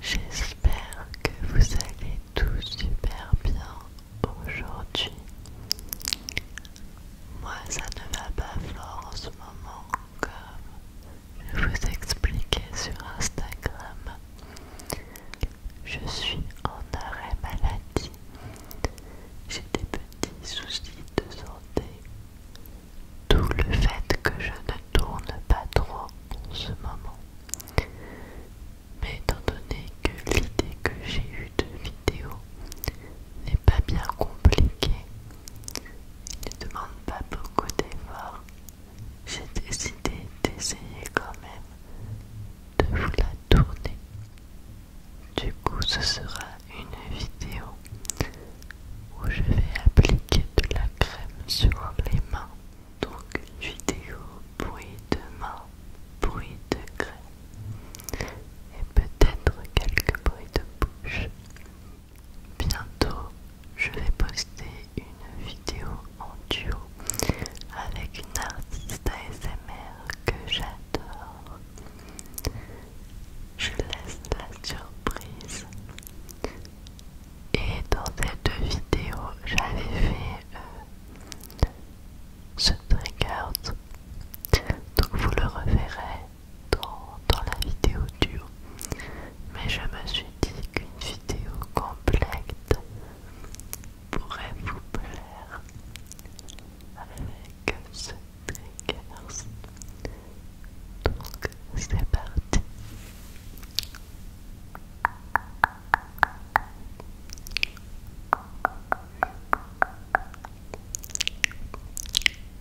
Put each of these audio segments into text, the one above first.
J'espère que vous allez tous super bien aujourd'hui. Moi ça ne va pas fort en ce moment comme je vous expliquais sur Instagram, je suis en arrêt maladie. J'ai des petits soucis de santé. Tout le fait que je ne tourne pas trop en ce moment. Mais étant donné que l'idée que j'ai eue de vidéo n'est pas bien compliquée, il ne demande pas beaucoup d'efforts, j'ai décidé d'essayer quand même de vous la tourner. Du coup, ce sera une vidéo où je vais appliquer de la crème sur les mains. Donc, une vidéo bruit de mains, bruit de crème et peut-être quelques bruits de bouche. Bientôt, je vais poster une vidéo en duo avec une artiste ASMR que j'adore. Je laisse la surprise. Et dans cette vidéo, j'avais fait euh, ce trigger. Donc vous le reverrez dans, la vidéo duo, mais je me suis dit qu'une vidéo complète pourrait vous plaire avec ce triggers. Donc c'est parti.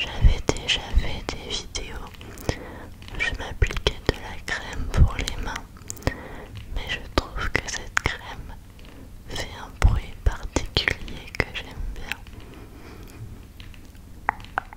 J'avais déjà fait des vidéos, je m'appliquais de la crème pour les mains, mais je trouve que cette crème fait un bruit particulier que j'aime bien.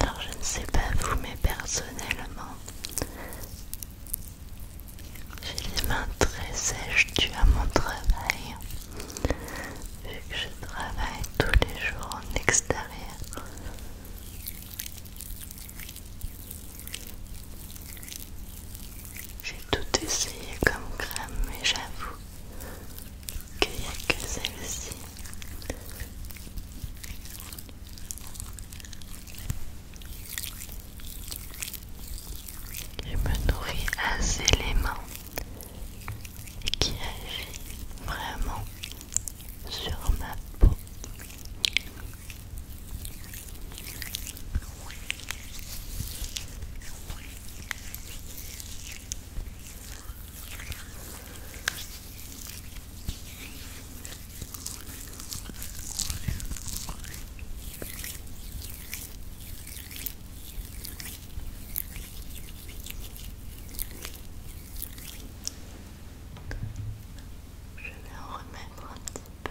Alors je ne sais pas vous, mais personnellement, j'ai les mains très sèches dues à mon travail. Vu que je travaille tous les jours en extérieur. J'ai tout essayé comme crème mais j'avoue que n'y a que celle-ci. Je me nourris assez les mains qui agit vraiment sur ma peau. Je vais en remettre un petit peu.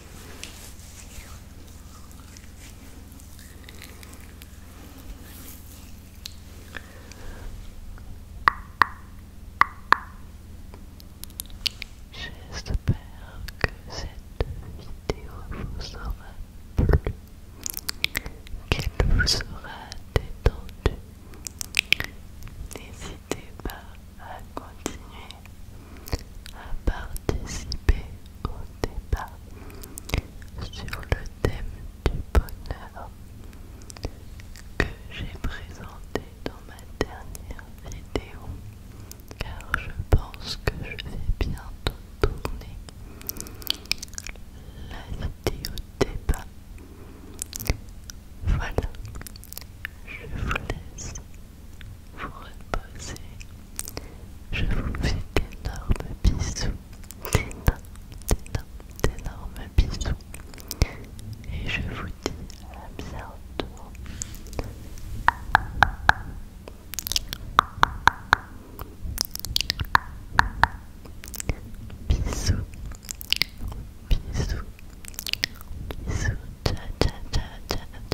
J'espère que cette vidéo vous aura plu, qu'elle vous aura détendu. N'hésitez pas à continuer à participer au débat sur le thème du bonheur que j'ai présenté dans ma dernière vidéo car je pense que je vais bientôt tourner la vidéo débat. Voilà, je vous laisse vous reposer. Je vous fais d'énormes bisous, d'énormes, d'énormes, d'énormes bisous. Et je vous dis à bientôt. Bisous, bisous, bisous, ciao, ciao, ciao, ciao, ciao.